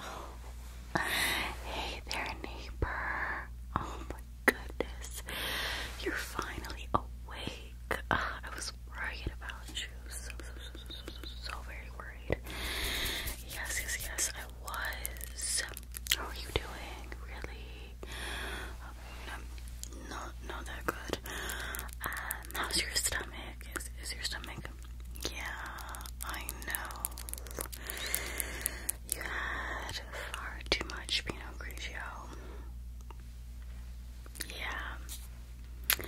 Oh. Hey there, neighbor. Oh my goodness. You're finally awake. Uh, I was worried about you. So, so, so, so, so, so very worried. Yes, yes, yes, I was. How are you doing? Really? Um, not, not that good. Um, how's your stomach? Is, is your stomach yeah, I know. You had far too much Pinot Grigio. Yeah.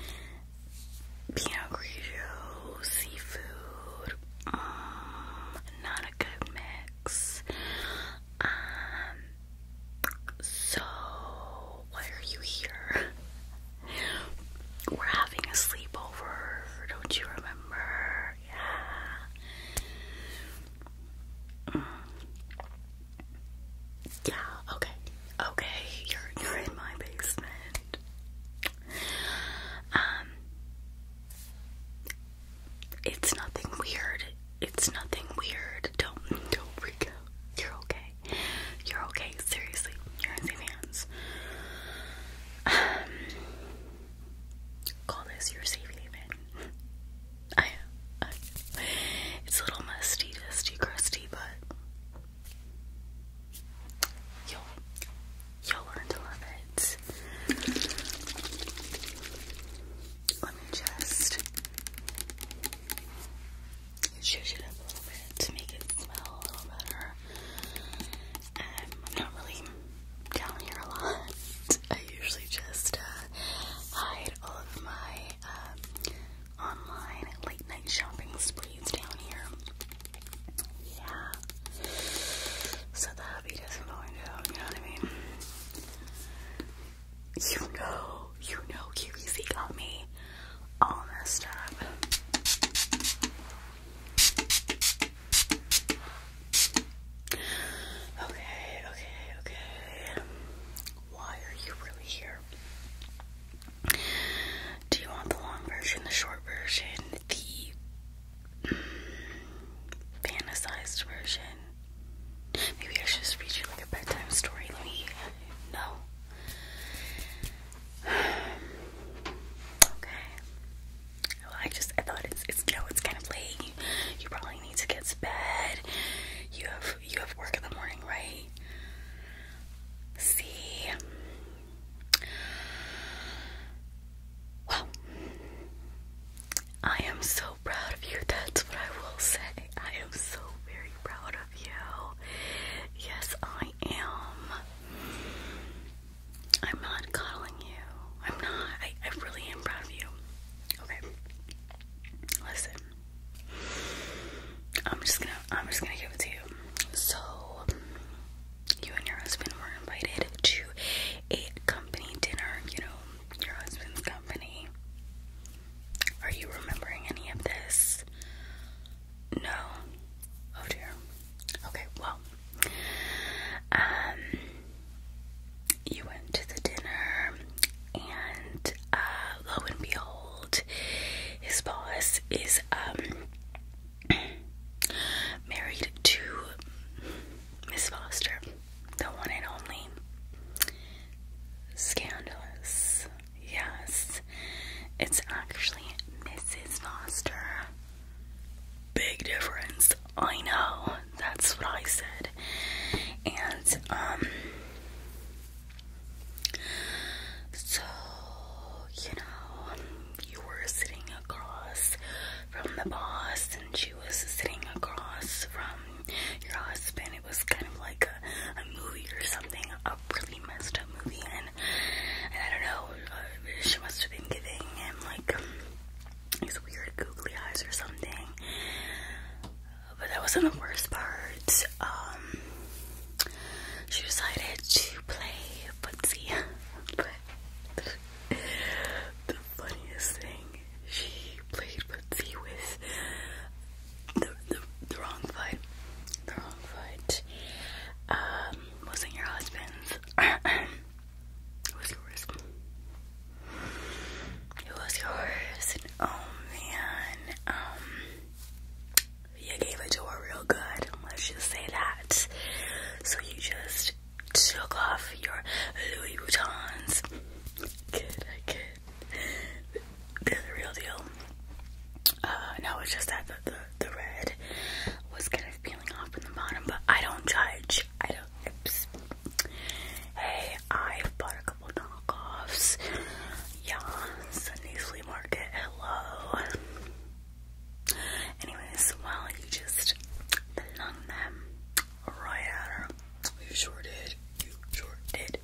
Pinot Grigio, seafood, mm, not a good mix. Um, so why are you here? We're having a sleepover, don't you remember? Yeah. Mm. Yeah, okay. Okay, you're you're in my basement. Um It's nothing weird. It's nothing weird. Don't don't freak out. You're okay. You're okay seriously, you're in safe hands. Um, call this your safe haven. I, it's a little musty, dusty, crusty, but you'll learn to love it. Let me just shush it up a little bit to make it smell a little better. Um, I'm not really down here a lot. I usually just uh, hide all of my uh, online late night shopping sprees down here. Yeah. So that'll be disappointing, you know what I mean? You know, you know QVC got me all messed up. Okay, okay, okay. Why are you really here? Do you want the long version, the short version, the fantasized version? Maybe I should just read you like a bedtime story. Let me. No okay. Well, I just I thought it's it's you know it's kind of late. You, probably need to get to bed. You have you have work in the morning, right? See. Well, I am so proud of you. That's what I will say. I am so very proud of you. Yes, I I am. I'm not coddling you. I'm not. I, really am proud of you. Okay. Listen. I'm just gonna I'm just gonna give it to you. So you and your husband were invited to a company dinner, you know, your husband's company. Are you remembering any of this? No. Oh dear. Okay, well. Um you went to the dinner and uh, lo and behold his boss is um married to Miss Foster, the one and only scandalous Yes, it's actually Mrs. Foster. Big difference. I know. That's what I said. And, um, so, you know, you were sitting across from the boss, and she was sitting across from your husband. It was kind of like a, movie or something, a really messed up movie. And I don't know, uh, she must have been giving him like these weird googly eyes or something. But that wasn't the worst part. Um, she decided to play footsie, but the funniest thing, she played footsie with the, the wrong foot, the wrong foot. Um, um, wasn't your husband's. it was yours. It was yours. oh man, um, you gave it to her real good. Let's just say that. So you just took off your Louis Vuittons. Good, I the real deal. Uh, no, it's just that the the red was kind of peeling off from the bottom, but I don't judge. I don't. Hey, i bought a couple knockoffs. Yeah, Sunday flea market. Hello. Anyways, well, you just flung them right at her. You sure did. You sure did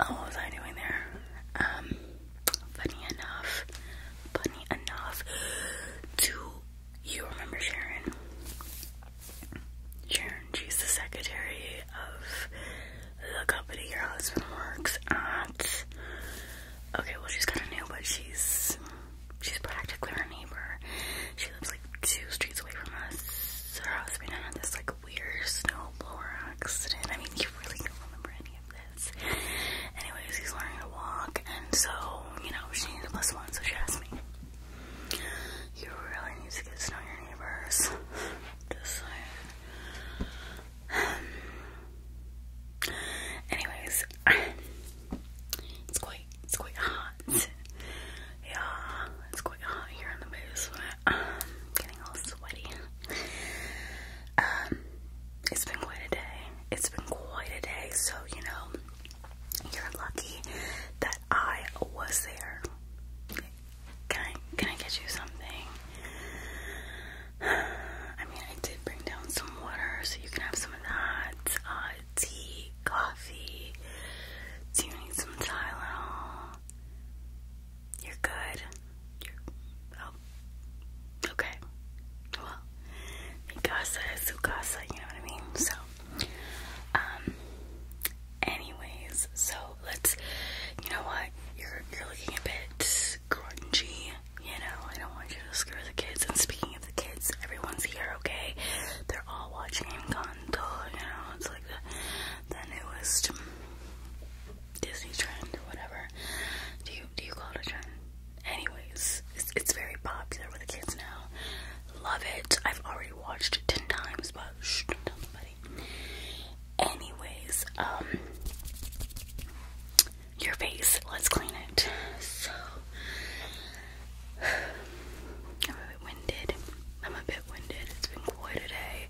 oh, what was I doing there? Um, funny enough, funny enough, to you remember Sharon? Sharon, she's the secretary of the company your husband works at. Okay, well she's kind of new, but she's she's practically her neighbor. She lives like two streets away from us. So Her being on this like weird snowblower accident. I mean, you really don't remember any of this. Anyways, he's learning to walk, and so, you know, she needs a plus one, so she asked me. You really need to get to know your neighbors. Just like. anyways, it's quite, it's quite hot. Yeah, it's quite hot here in the basement. Um, it's been quite a day. It's been quite a day, so you know, you're lucky that I was there. Can I can I get you something? I mean, I did bring down some water, so you can have some of that. Uh, tea, coffee. Do you need some Tylenol? You're good. You're, oh, okay. Well, Mikasa is you know what I mean? So, um, anyways, so let's, you know what? You're, you're looking a bit grungy, you know? I don't want you to scare the kids. And speaking of the kids, everyone's here, okay? They're all watching Encanto, you know? It's like the the newest Disney trend, whatever. Do you do you call it a trend? Anyways, it's it's very popular with the kids now. Love it. I've already watched it ten times, but don't tell nobody. Anyways, um, your face. Let's clean it. So. I'm a bit winded. I'm a bit winded. It's been quite a day.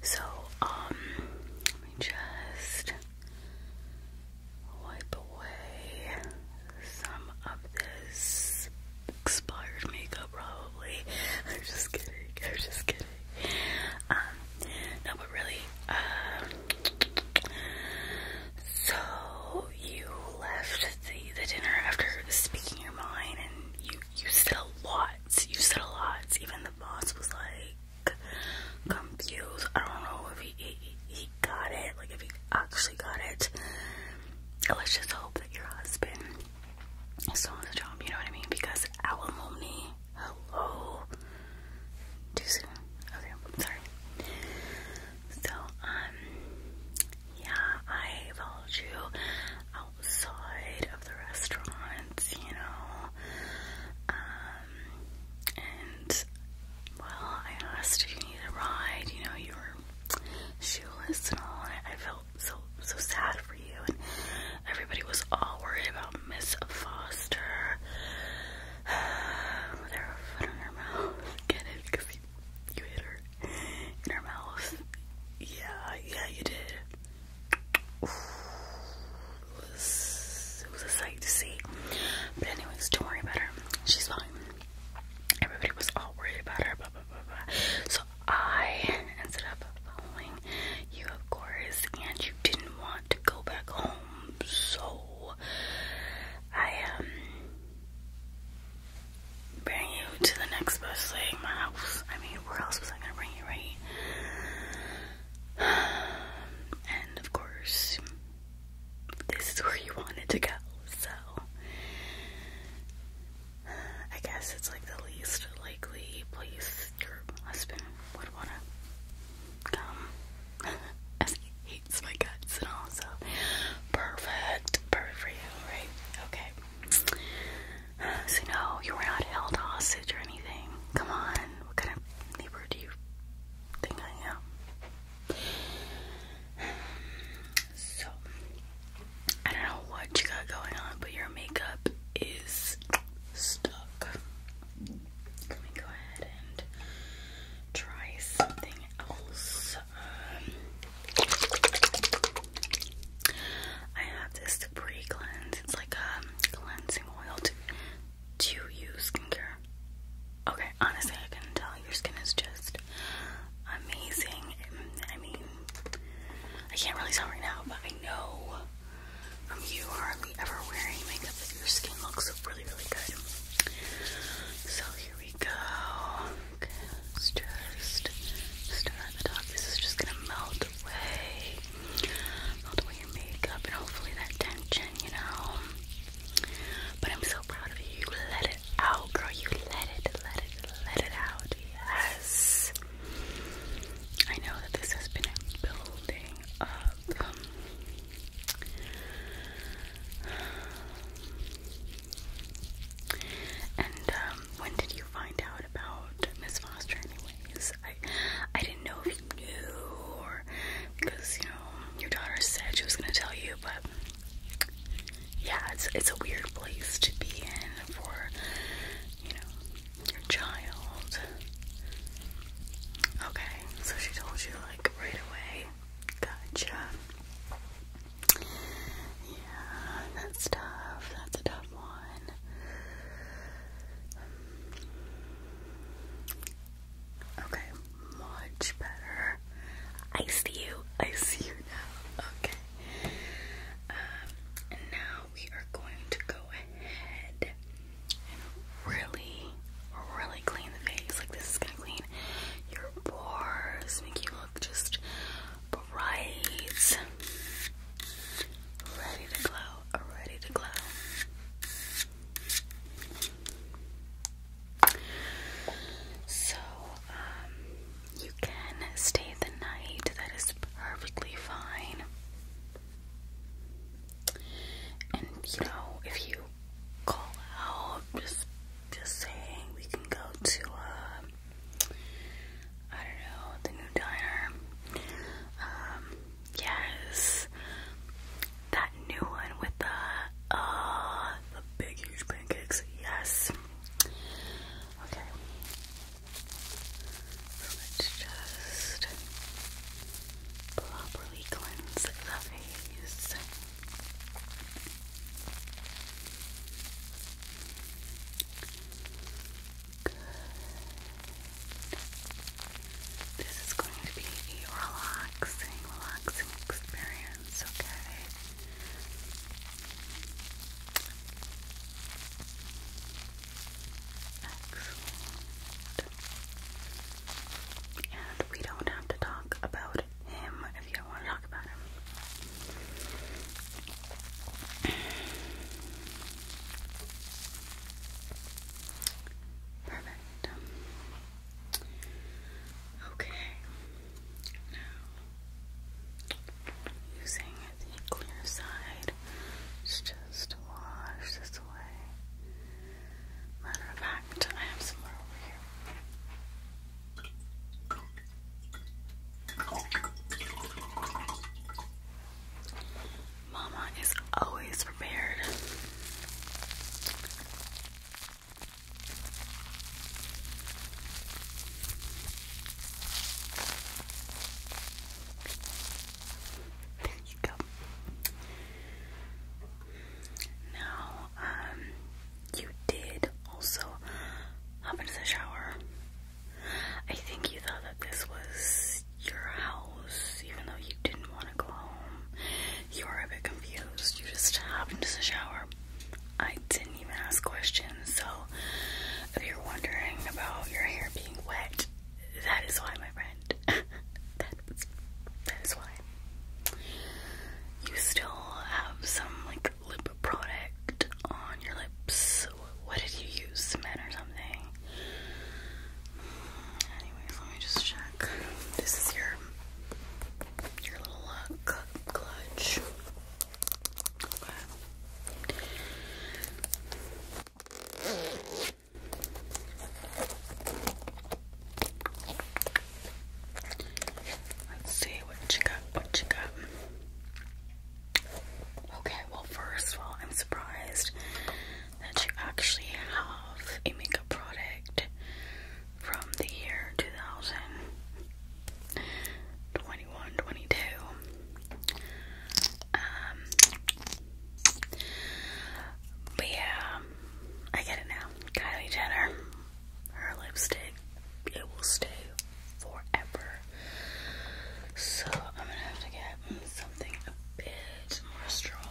So, um, let me just wipe away some of this expired makeup, probably. I'm just kidding. I'm just kidding. Um, no, but really, uh, so you left the the dinner after speaking your mind, and you you said a lot you said a lot. Even the boss was like confused. I don't know if he he, he got it. Like if he actually got it. Let's just hope that your husband still on the job. You know what I mean? Because alimony. Hello. Too soon. Okay. I'm sorry. So um. Yeah, I followed you outside of the restaurants, you know. Um, and well, I asked if you need a ride, you know, you were shoeless and all, and I felt so so sad for you and everybody was all worried about Miss Foster with her foot in her mouth. Get it? Because you, you hit her in her mouth. Yeah, yeah, you did. It was, a sight to see. But anyways, don't worry about her. She's fine. Everybody was all worried about her. Blah, So I ended up following you, of course, and you didn't want to go back home. So I um bring you to the next best thing, my house. I mean, where else was I gonna bring you, right? And of course, this is where you wanted to go, so I guess it's like the least likely place your husband would wanna come. As he hates my guts and all, so perfect, perfect for you, right? Okay. So no, you were not held hostage or anything. Come on, what kind of neighbor do you think I am? So I don't know what you got going on, but your makeup is stuck. Let me go ahead and try something else. Um, I have this pre cleanse. It's like a cleansing oil to use skincare. Okay, honestly, I can tell your skin is just amazing. I mean, I can't really tell right now, but I know from you hardly ever wearing makeup that your skin looks really, really good. So here we go. Okay, let just start at the top. This is just gonna melt way, all the way your makeup, and hopefully that tension, you know. But I'm so proud of you. let it out, girl. You let it, let it, let it out. Yes. I know that this has been building up. and um, um, when did you find out about Miss Foster anyways? I I didn't know if you knew or because you know your daughter said she was gonna tell you but yeah it's it's a weird place to be in for you know your child. Okay, so she told you like right away. Gotcha. Yeah, that's tough. That's a tough one. Okay, much better. I see you. I see you now. Okay. Um, and now we are going to go ahead and really, really clean the face. Like this is gonna clean your pores, make you look just Right, Ready to glow, ready to glow. So, um, you can stay the night, that is perfectly fine. And you know, if you call out, just just saying, we can go to um, I don't know, the new diner. Um, yes, that new one with the uh the big huge pancakes. Yes. Okay. Let's just properly cleanse the face. Good. This is going to be a relaxing, relaxing experience, okay? Excellent. And we don't have to talk about him if you don't want to talk about him. Perfect. Okay. Now, using the clear side, just wash this away. Matter of fact, I have some more over here. Mama is always prepared. There you go. Now, um, you did also hop into the shower I think you thought that this was your house, even though you didn't want to go home. You were a bit confused. You just hopped into the shower. I didn't even ask questions, so if you're wondering about your hair being wet, that is why, my friend. that, is, that is why. You still have some, like, what lip product on your lips? What did you use? Cement or something? Anyways, let me just check. This is your your little clutch. Let's see what you got. What you got? Okay, well, first of all, I'm surprised that you actually have a makeup product from the year 2021 um, but yeah, I get it now. Kylie Jenner, her lipstick, it will stay forever. So I'm gonna have to get something a bit more stronger.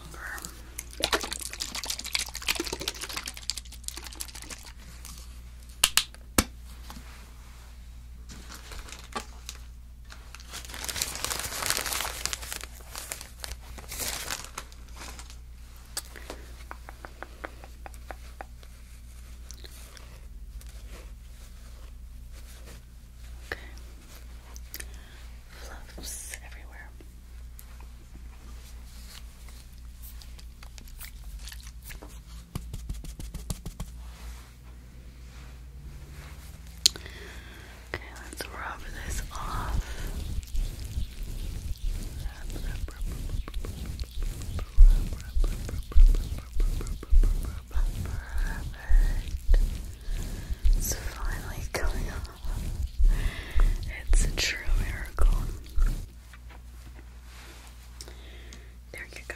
Okay. Fluffs everywhere. Okay, let's rub this off. Perfect. It's finally coming off. It's a true miracle. There you go.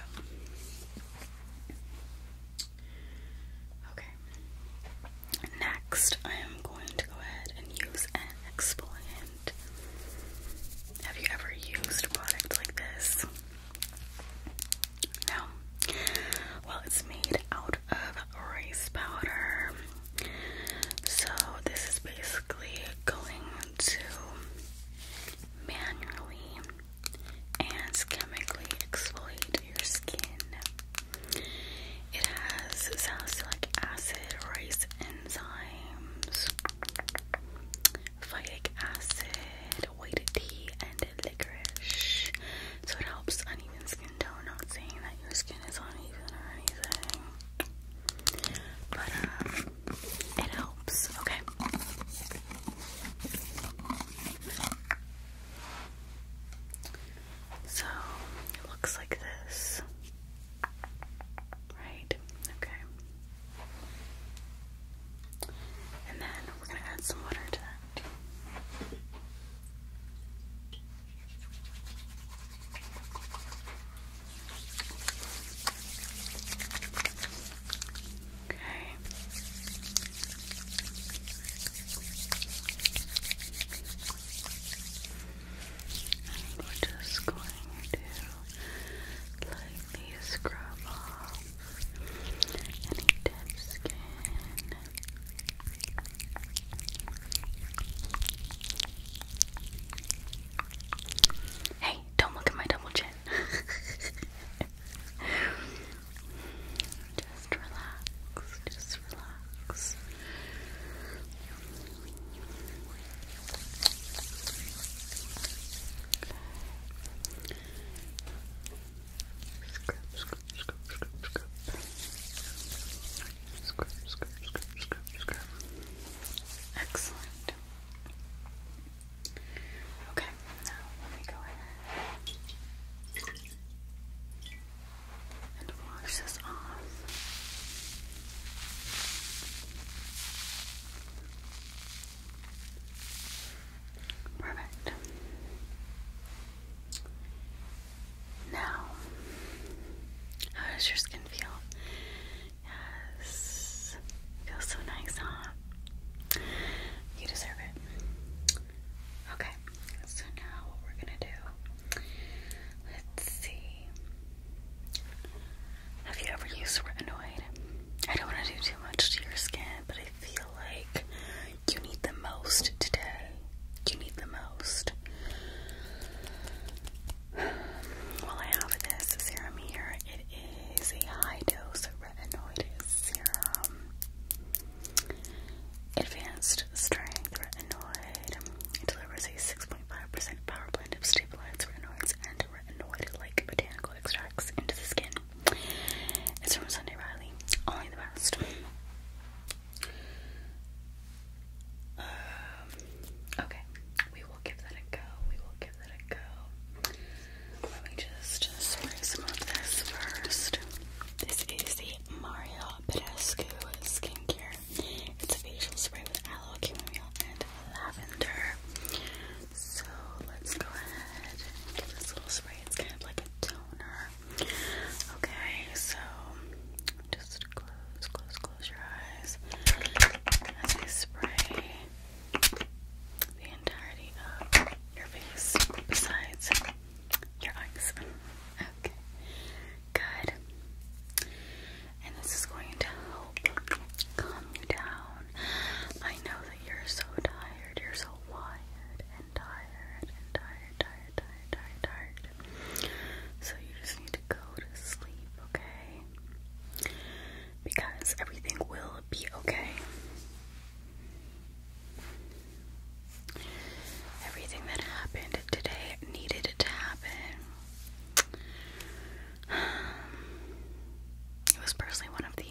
Okay. Next, I am going to go ahead and use an exfoliant. Have you ever used a product like this? No. Well, it's made out of rice powder. So, this is basically going to manually and chemically exfoliate your skin. It has salicylic acid, rice enzymes, phytic acid, white tea, and licorice. So it helps uneven skin tone, not saying that your skin is uneven or anything. But um it helps, okay. So it looks like this. Right? Okay. And then we're going to add some water to that. Okay. we're just going to lightly lightly scrub off any Hey, don't look at my double chin. just relax, just relax. Scrub, scrub, scrub, scrub, scrub. Excellent. Okay, now let me go ahead and wash this off. Perfect. Now, how does your skin feel? Yes, feels so nice, huh? You deserve it. Okay, so now what we're gonna do? Let's see. Have you ever used retinoid? I don't want to do too much to your skin, but I feel like you need the most today. You need the most. Well, I have this serum here. It is a high dose retinoid serum. Advanced strength retinoid. delivers a 6.5% power blend of stabilized retinoids and retinoid like botanical extracts into the skin. It's from Sunday Riley. Only the best. Um, okay, we will give that a go. We will give that a go. Let me just spray some of this first. This is the Mario Badescu skincare. It's a facial spray with aloe, chamomile, and lavender. So let's go ahead and get this little spray. It's kind of like a toner. Okay, so just close, close, close your eyes as I spray the entirety of your face besides your eyes. Okay, good. And this is going to help calm you down. I know that you're so tired, you're so wired and tired and tired, tired, tired, tired, tired. So you just need to go to sleep, okay? Because everything will be okay. Everything that happened today needed to happen. It was personally one of the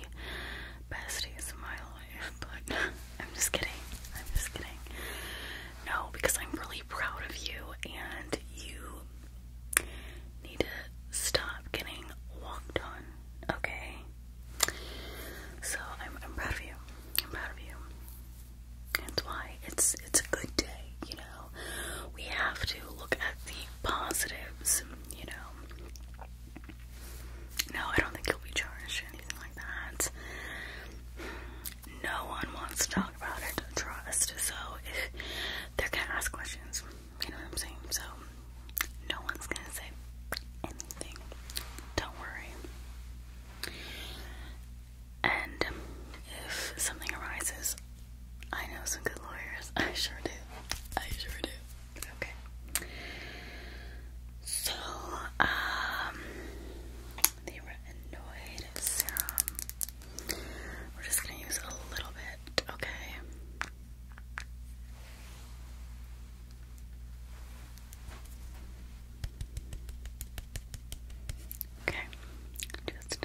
best days of my life, but I'm just kidding. I'm just kidding. No, because I'm really proud of you and you need to stop getting walked on, okay? So I'm proud of you. I'm proud of you. That's why it's it's a good day, you know. We have to look at the positives, you know. No, I don't think you'll be charged or anything like that. No one wants to talk about it, trust. So if they're gonna ask questions, you know what I'm saying? So no one's gonna say anything. Don't worry. And if something arises, I know some good lawyers. I sure do. I sure do. Okay. So, um, the retinoid serum. We're just gonna use a little bit, okay? Okay, just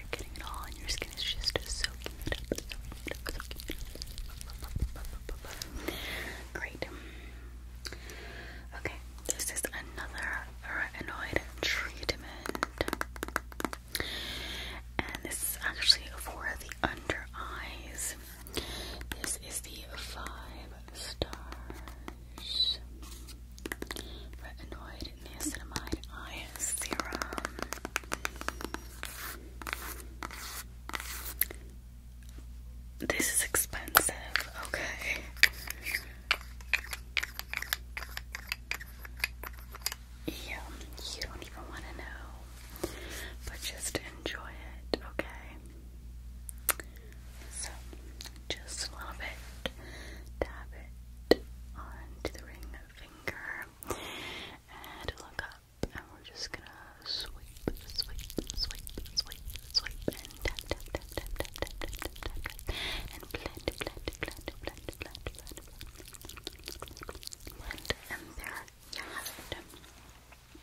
and your skin is just soaking it Great. Okay, this is another retinoid treatment. And this is actually for the under eyes. This is the five stars retinoid niacinamide eye serum. This is expensive, okay. Yeah, you don't even want to know, but just enjoy it, okay? So, just a little bit, dab it onto the ring finger and look up and we're just gonna sweep, sweep, sweep, sweep, sweep and blend, blend, blend, blend, blend, blend, blend, blend and there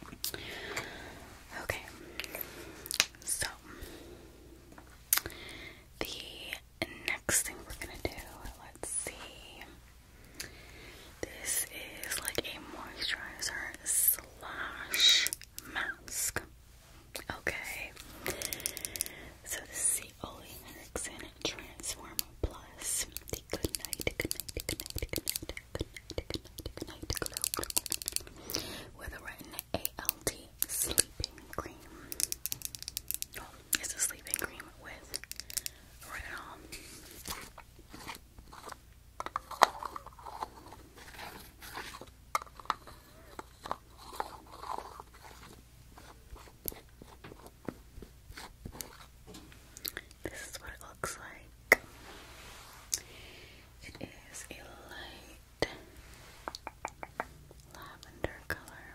you Okay, so the next thing we're gonna do, let's see. This is like a moisturizer slash mask. Okay. So this is the Ole Henriksen Transform Plus. The good night, good night, good night, good night, good night, good night, good night, glow, glow. With a retin ALT sleeping cream. it's a sleeping cream with retinol. Um, this is what it looks like. It is a light lavender color.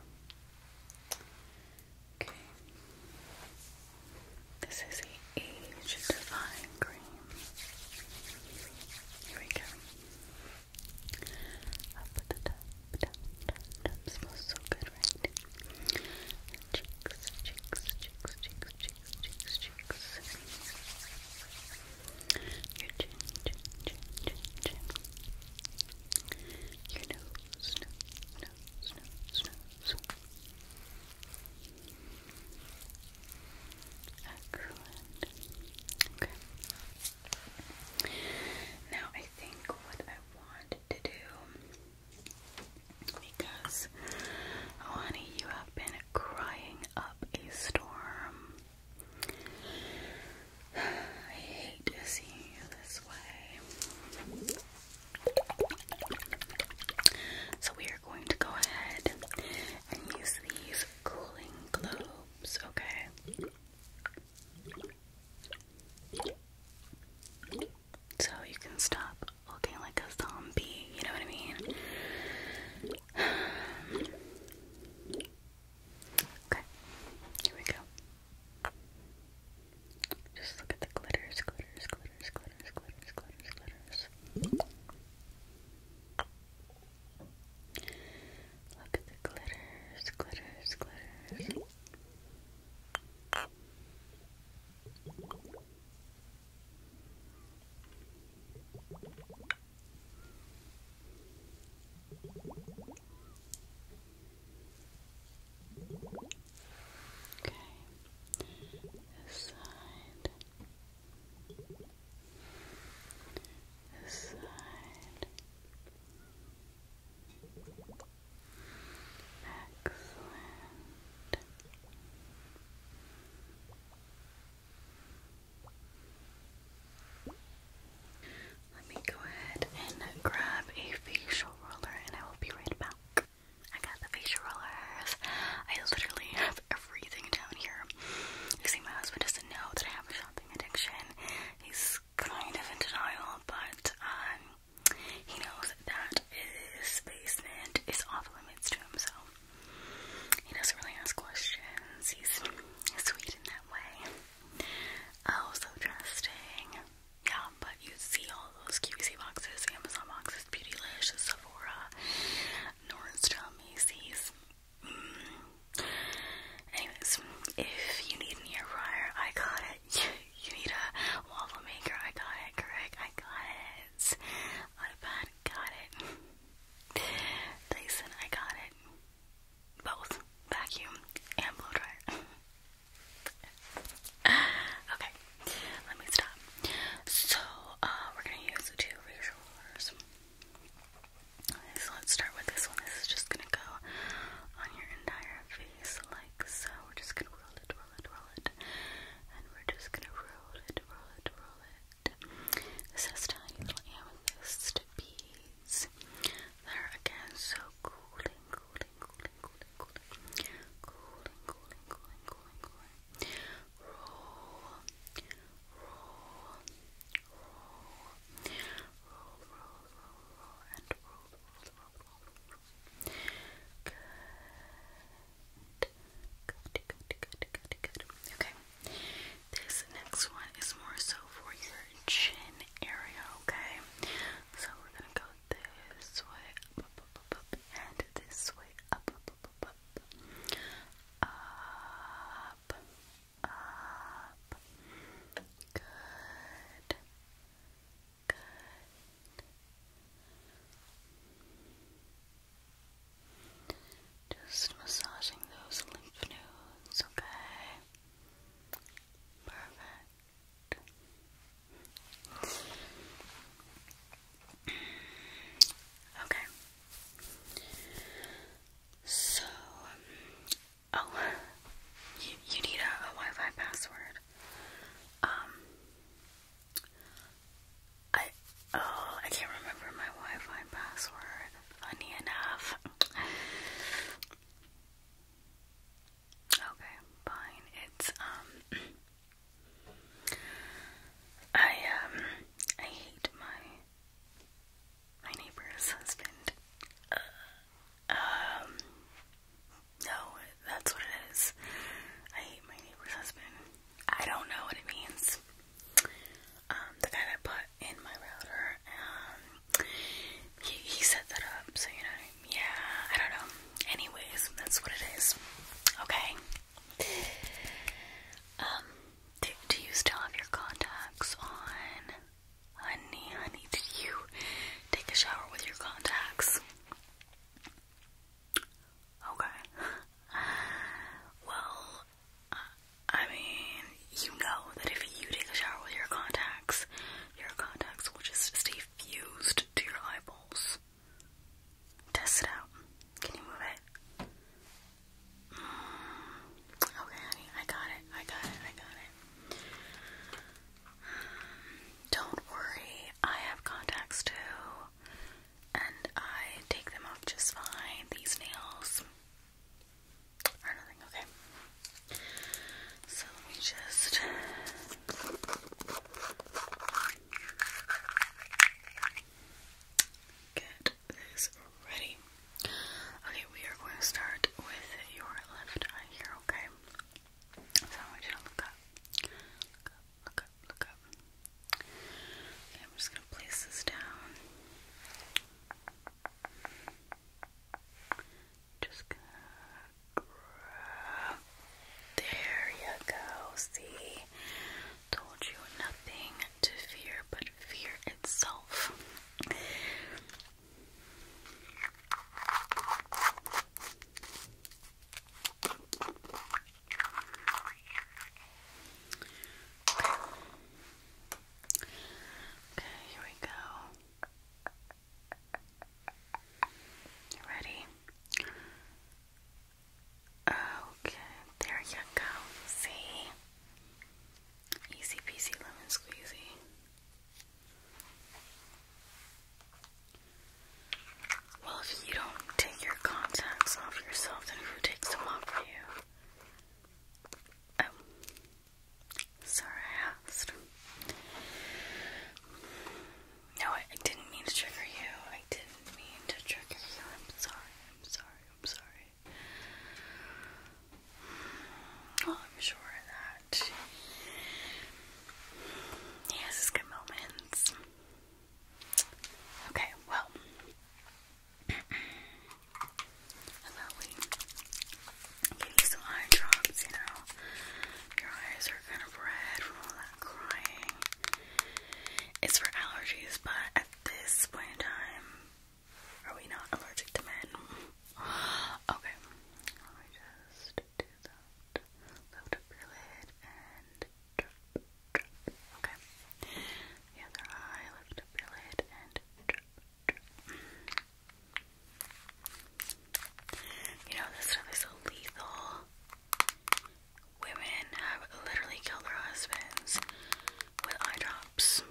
Okay. This is the Age Divine Cream. Here we go. Up the top, top, top, top. Smells so good, right? Cheeks, cheeks, cheeks, cheeks, cheeks, cheeks, cheeks. Your chin, chin, chin, chin, chin your Now I think what I want to do, because, honey, you have been crying up a storm. I hate seeing you this way. So we are going to go ahead and use these cooling globes, okay? So you can stop looking like a zombie, you know what I mean? Okay, here we go. Just look at the glitters, glitters, glitters, glitters, glitters, glitters, glitters. Look at the glitters, glitters, glitters. Okay. This side. Excellent. Let me go ahead and grab a facial roller and I will be right back. I got the facial rollers. I literally have everything down here. You see, my husband doesn't know that I have a shopping addiction. He's kind of in denial, but um, he knows that his basement is off limits to him, so he doesn't really ask questions. He's sweet in that way. Oh, so interesting. Yeah, but you see all those QVC boxes, Amazon boxes, Beautylish, Sephora, Nordstrom, Macy's. Mm. Anyways, if you need an air fryer, I got it. You need a waffle maker, I got it. Correct, I got it. Autopad, got it. Dyson, I got it both vacuum and blow dryer. okay, let me stop. So, uh, we're gonna use the two erasers. So, let's start with this one. This is just gonna go on your entire face, like so. We're just gonna roll it, roll it, roll it, and we're just gonna roll it, roll it, roll it. This has tiny little amethyst be these. They're again so cooling, cooling, cooling, cooling, cooling, cooling, cooling, cooling, cooling, cooling. Roll, roll, roll, roll, roll, roll, roll, and roll, roll, roll, roll, roll. Good, good, good, good, good, good. Okay. This next one is more so for your chin area, okay? So we're gonna go this way and this way up, up, up. Good, good. Just massaging those lymph nodes, okay? Perfect. Okay. So, oh, you, need a, a Wi Fi password. Um, I, oh, I can't remember my Wi Fi password. Funny enough, Okay, fine. It's um I um I hate my my neighbor's husband. Uh, um no, that's what it is. I hate my neighbor's husband. I don't know what it means um, the guy that put in my router, um, he, he set that up, so you know, yeah, I don't know. Anyways, that's what it is. Okay. Um, do, you still have your contacts on? Honey, honey, did you take a shower with your contacts? Okay. Well, uh, I mean, you know that if you take a shower with your contacts, your contacts will just stay fused to your eyeballs. Test it out. Can you move it? Mm. okay, honey, I got it. I got it. I got it. Don't worry, I have contacts too, and I take them off just fine. These nails, okay. So let me just get this ready. Okay, we are going to start with your left eye here, okay? So I want you to look up. Look up, look up, look up. Okay, I'm just going to place this down. Just grab. There you go. See, told you nothing to fear but fear itself. Okay, here we go. You ready? Okay, there you go. See? Easy peasy lemon squeezy. Well, if you don't take your contacts off yourself, then who takes them off for you? Oh. Sorry, I asked. No, I, didn't mean to trigger you. I didn't mean to trigger you. I'm sorry. I'm sorry. I'm sorry. I'm sure that he has his good moments. Okay, well, and give you some eye drops, you know. Your eyes are kind of red from all that crying. It's for allergies, but at this point in time, are we not allergic to men? okay, let me just do that. Lift up your lid and drop, drop. Okay, the other eye, lift up your lid and drop, you know, this stuff is so lethal. Women have literally killed their husbands with eye drops.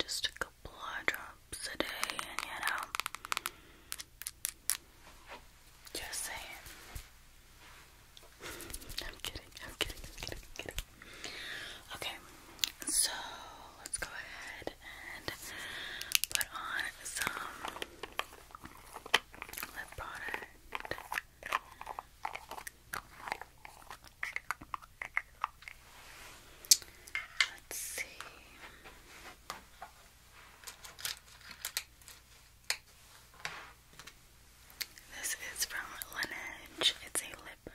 Just a couple eye drops a day, and you know. Just saying. I'm kidding, I'm kidding, I'm kidding, I'm kidding. Okay, so let's go ahead and put on some lip product. Let's see. This is from Laneige. It's a lip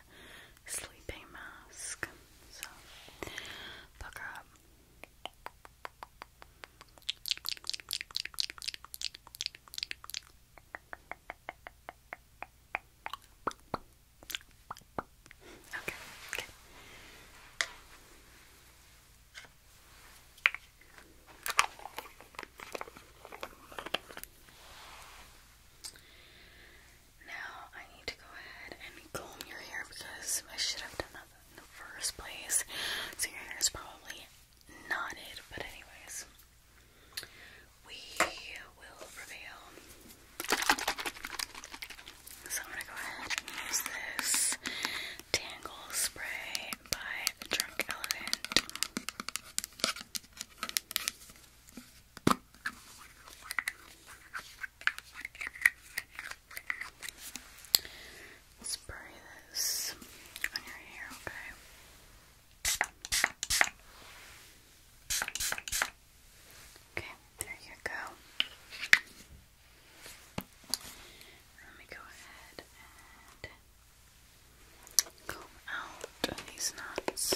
sleeping mask. So, pucker up. Okay, okay. Now I need to go ahead and comb your hair because I should have done that in the first place. So your hair is probably knotted, but anyways, we will prevail. So I'm gonna go ahead and use this Tangle Spray by Drunk Elephant. We'll spray this on your hair, okay? Okay, there you go. Let me go ahead and comb out these knots.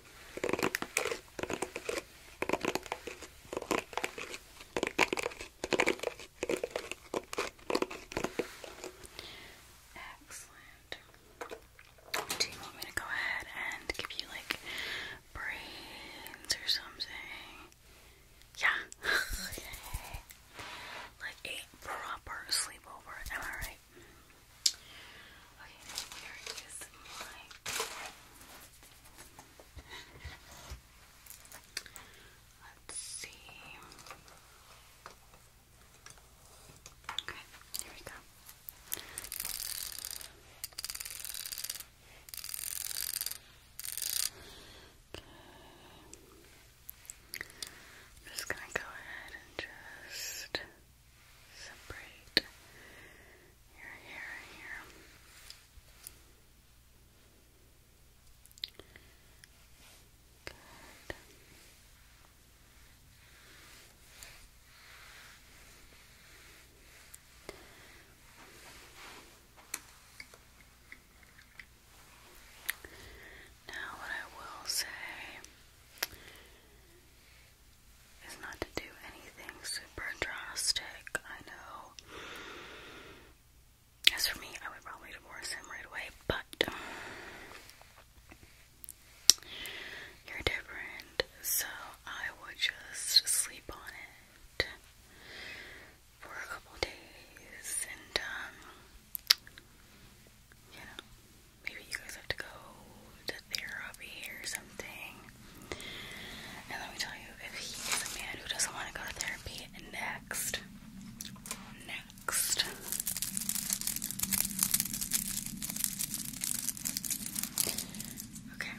Excellent. Do you want me to go ahead and give you like brains or something? Yeah. okay. Like a proper sleepover, am I right? Okay, here is my let's see. Okay, here we go. Okay. just gonna go ahead and just separate your hair here. Good. Now, what I will say is not to do anything super drastic. I know. As for me, I would probably divorce him right away, but you're different, so I would just sleep on it for a couple days and, um, you know, maybe you guys have to go to therapy or something. And let me tell you, if he a man who doesn't want to go to therapy, next. Next. Okay.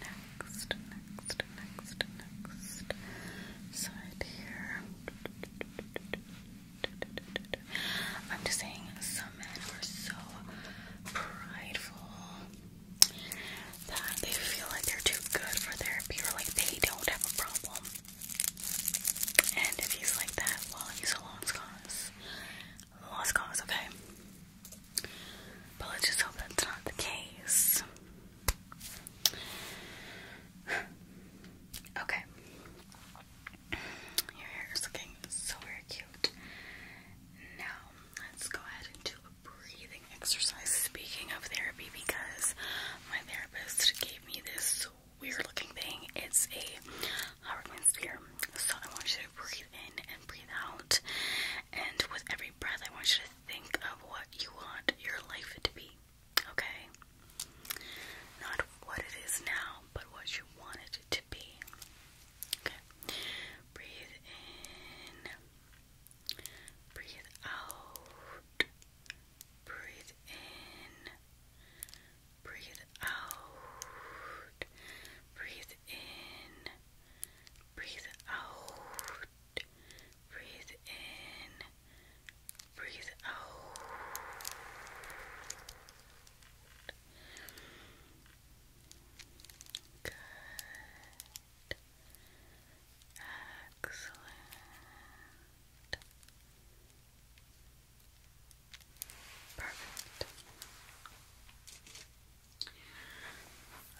Next, next, next, next side here. I'm just saying, some men are so prideful that they feel like they're too good for therapy or like they don't have a problem. And if he's like that, well, he's a lost cause. Lost cause, okay? But let's just hope that's not the case. Okay. Your hair is looking so very cute. Now, let's go ahead and do a breathing exercise. Speaking of therapy, because my therapist gave me this weird looking thing, it's a Hartman sphere. So, I want you to breathe in and breathe out, and with every breath, I want you to think of what you want your life to be. Okay? Not what it is now, but what you wanted it to be. Okay. Breathe in. Breathe out. Breathe in. Breathe out. Breathe in. Breathe out. Breathe in. Breathe out. Good. Excellent. Perfect.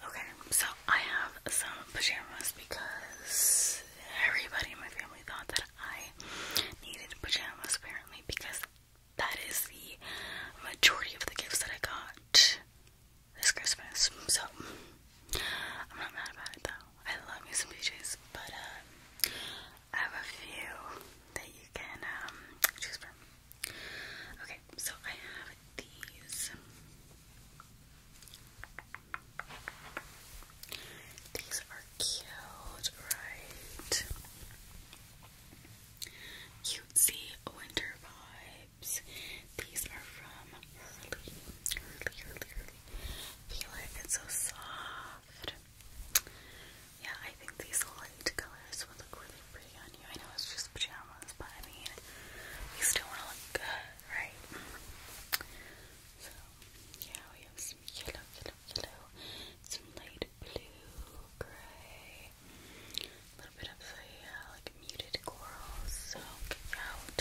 Okay, so I have some pajamas because everybody in my family thought that I needed pajamas apparently because that is the majority of the gifts that I got this Christmas. So I'm not mad about it though. I love me some PJs, but uh, I have a few that you can um, choose from. Okay, so I have these. These are cute, right? cutesy winter vibes. These are from Hurley. Hurley, Hurley, Hurley. Feel it, it's so soft. Yeah, I think these light colors would look really pretty on you. I know it's just pajamas, but I mean, you still want to look good, right? So, yeah, we have some yellow, yellow, yellow, some light blue, grey, a little bit of a like muted coral soak out,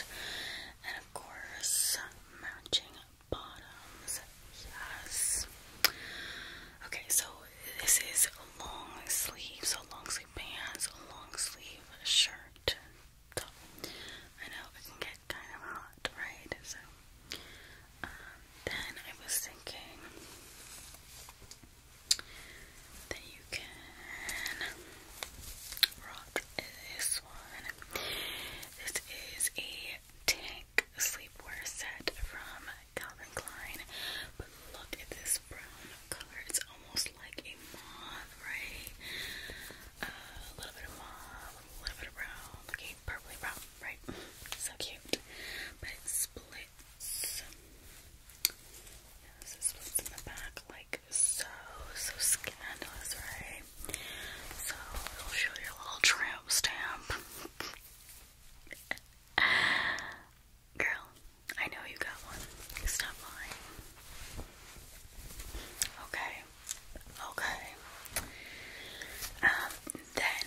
and of course matching bottoms. Yes. Okay, so this is long sleeve, so long sleeve pants, long sleeve shirt. I know it can get kind of hot, right? So then I was thinking that you can rock this one. This is a tank sleepwear set from Calvin Klein. But look at this brown color. It's almost like a mauve, right? Uh, a little bit of mauve, a little bit of brown, like purpley brown right? So cute. But it splits. Yes, it splits in the back like so. So scandalous, right? So it'll show your little tramp stamp. Girl, I know you got one. Stop lying. Okay. Okay. Um, then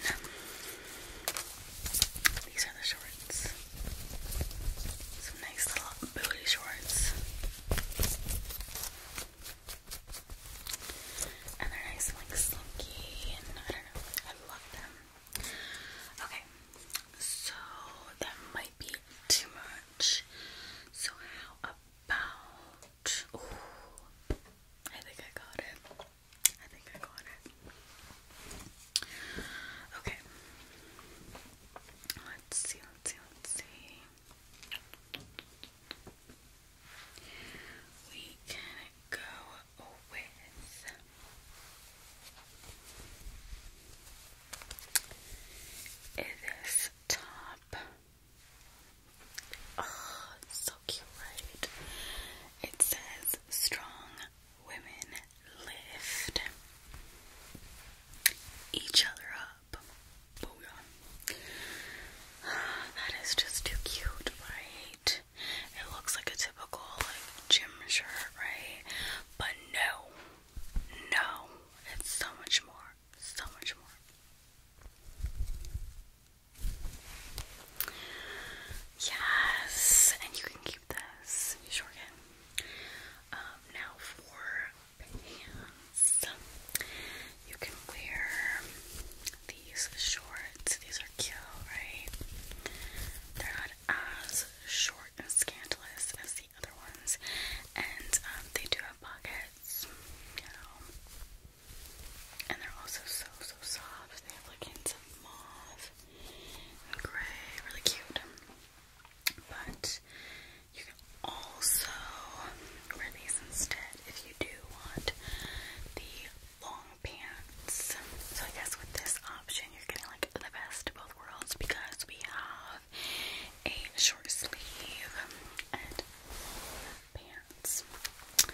these are the shorts. Some nice little booty shorts. And they're nice and like slinky and I don't know. I love them. Okay, so that might be too much. So how about I think I got it. I think I got it. Okay. Let's see, let's see, let's see. We can go with this top Oh, so cute, right? It says strong women lift each other up. Booyah. That is just too cute, right? It looks like a typical gym shirt, right? But no, no, it's so much more, so much more. Yes, and you can keep this. You sure can. now for pants, you can wear these shorts. These are cute, right? They're not as short and scandalous as the other ones, and um, they do have pockets, and they're also so, so soft. They have like hints of mauve and gray. Really cute. But you can also wear these instead if you do want the long pants. So I guess with this option, you're getting like the best of both worlds because we have a short sleeve and pants hands. Uh,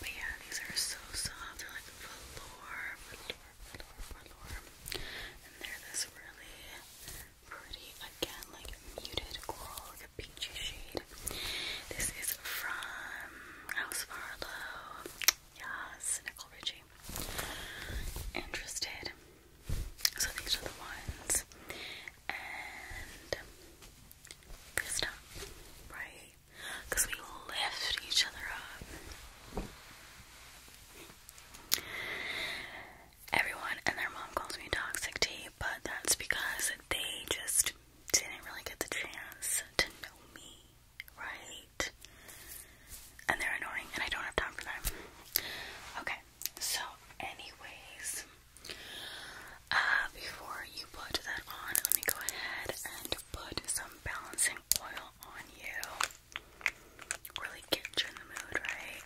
but yeah, these are so soft. They're like velour, velour, velour, velour. And they're this really pretty, again, like muted coral, like a peachy shade. This is from House Farlow. Yes, Nicole Richie. Interested. So these are the ones. And this time, right? Because we lift each other up. Everyone and their mom calls me Toxic T, but that's because they just didn't really get the chance to know me, right? And they're annoying, and I don't have time for them. Okay, so, anyways, uh, before you put that on, let me go ahead and put some balancing oil on you. Really get you in the mood, right?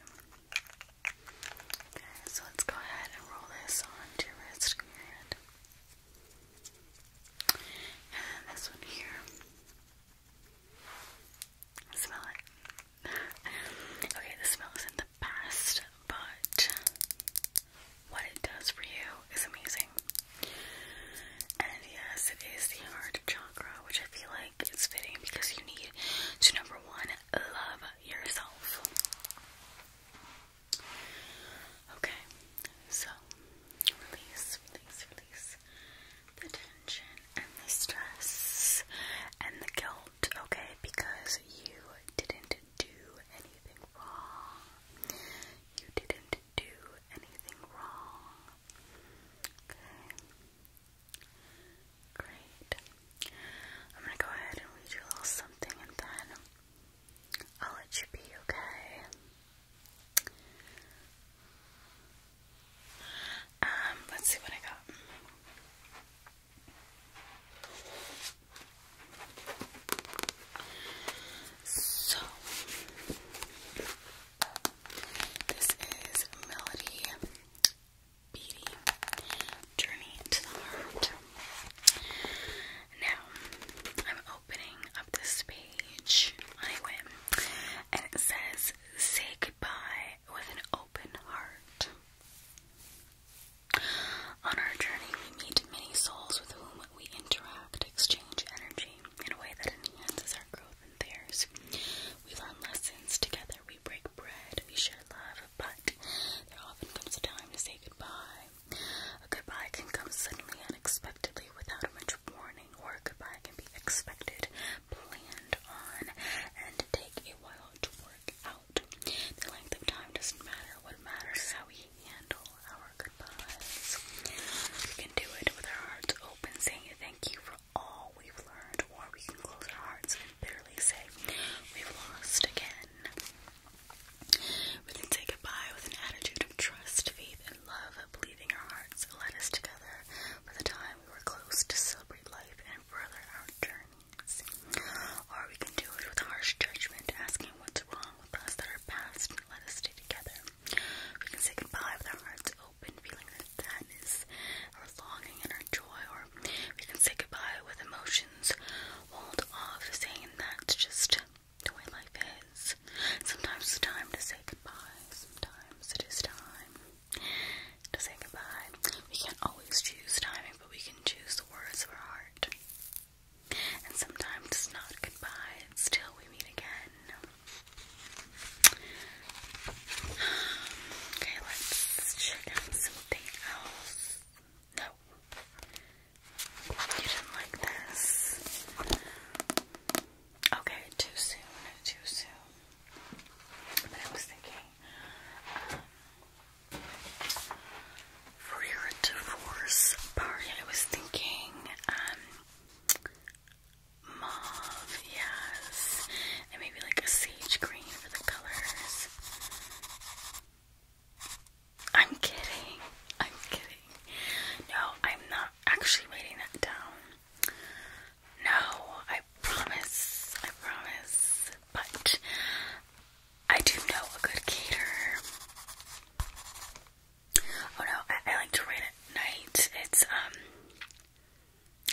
Okay, so let's go ahead and roll this onto your wrist And this one here. Smell it. okay, the smell isn't the best, but what it does for you is amazing. And yes, it is the heart chakra, which I feel like it's fitting because you need to number one, love yourself. Okay, so release, release, release the tension and the stress and the guilt, okay, because you didn't do anything you didn't do anything wrong. Okay. Great. I'm gonna go ahead and read you a little something and then I'll let you be, okay? Um, let's see what I got. So this is Melody Beauty Journey to the Heart. Now I'm opening up this page on and it says say goodbye with an open heart. On our journey, we meet many souls with whom we interact, exchange energy in a way that enhances our growth and theirs. We learn lessons together, we break bread, we share love, but there often comes a time to say goodbye. A goodbye can come suddenly, unexpectedly, without much warning, or a goodbye can be expected, planned on, and take a while to work out. The length of time doesn't matter. What matters is how we handle our goodbyes. We can do it with our hearts open, saying thank you for all we've learned, or we can close our hearts and bitterly say we've lost again. We can say goodbye with an attitude of trust, faith, and love, of believing our hearts led us together for the time we were close to celebrate life and further our journey. Or we can do it with harsh judgment, asking what's wrong with us that our past and let us stay together. We can say goodbye with our hearts open, feeling our sadness, our longing, and our joy. Or we can say goodbye with emotions walled off, saying that's just the way life is. Sometimes it's time to say goodbye, sometimes it is time to say goodbye. We can't always choose timing, but we can choose the words of our heart. And sometimes it's not goodbye, it's till we meet again. Okay, let's check out something else. No. You didn't like this. Okay, too soon, too soon. But I was thinking, um, Rear divorce party. I was thinking, um, mauve, yes, and maybe like a sage green for the colors. I'm kidding. I'm kidding. No, I'm not actually writing that down. No, I promise. I promise. But I do know a good caterer. Oh no, I, like to write at night. It's um,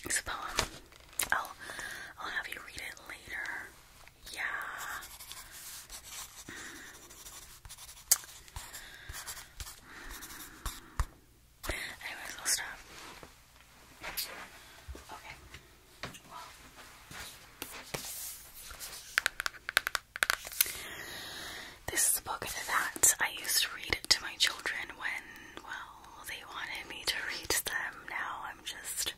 it's a poem. I'll I'll have you read it later. Yeah. Mm. Anyways, stop. Okay. This is a book that I used to read it to my children when, well, they wanted me to read to them. Now I'm just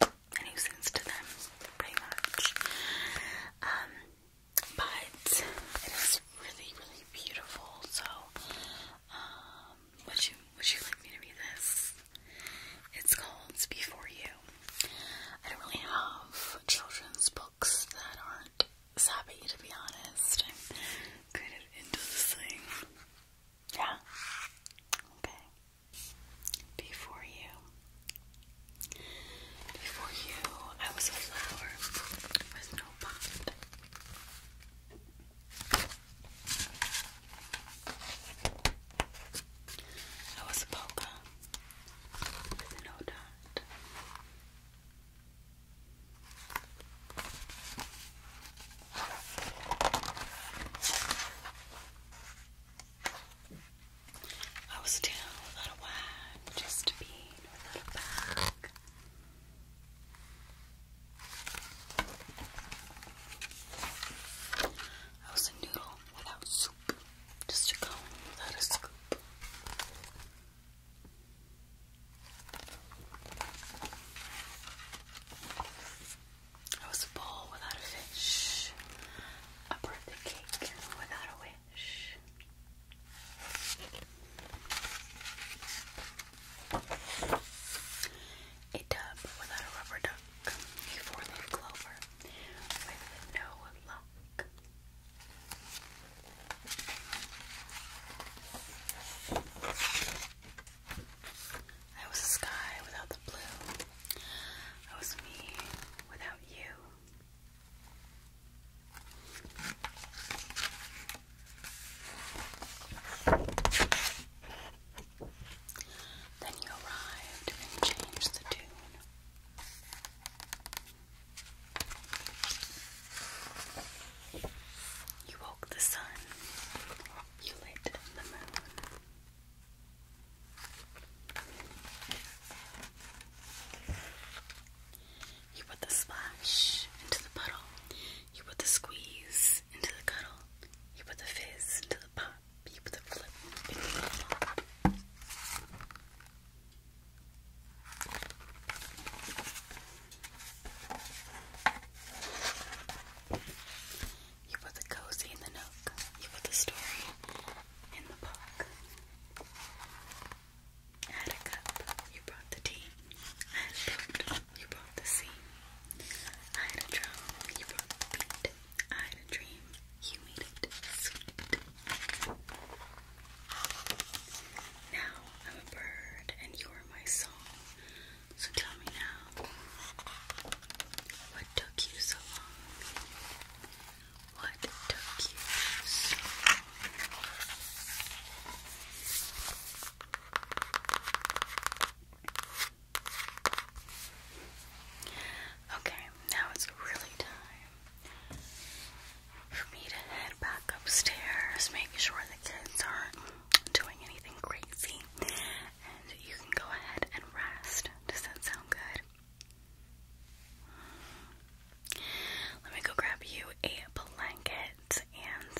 a nuisance to them, pretty much. Um, but it is really, really beautiful. So, um, would you would you like me to read this? It's called Before You. I don't really have children's books that aren't sappy, to be honest. i into this thing. Yeah? Okay. Before you. Before you, I was a flower with no pot. I was a polka I was down without a wine, just a bean without a bag. I was a noodle without soup. Just a cone without a scoop. I was a bowl without a fish. A birthday cake without a wish. A tub without a rubber duck. A four-leaf clover I was the sky without the blue. I was me without you. Then you arrived and changed the tune. You woke the sun. You lit the moon. You put the splash into the puddle. You put the squeeze into the cuddle. You put the fizz into the pop. You put the cozy in the nook. You put the story in the book. I had a cup. You brought the tea. I had a boat. You brought the scene. I had a drum. You brought the beat. I had a dream. You made it sweet. Now I'm a bird and you are my song. So tell me now, what took you so long? What took you Okay, now it's really time for me to head back upstairs, make sure the kids aren't doing anything crazy, and you can go ahead and rest. Does that sound good? Let me go grab you a blanket and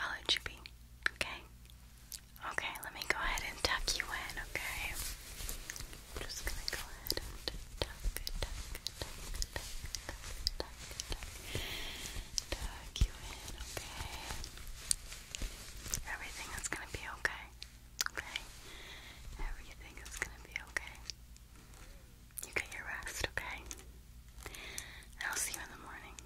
I'll let you be. Okay? Okay, let me go ahead and tuck you in, okay? I'm just gonna go ahead and tuck, tuck, tuck, tuck, tuck, tuck, tuck, you in, okay? Everything is gonna be okay, okay? Everything is gonna be okay. You get your rest, okay? I'll see you in the morning.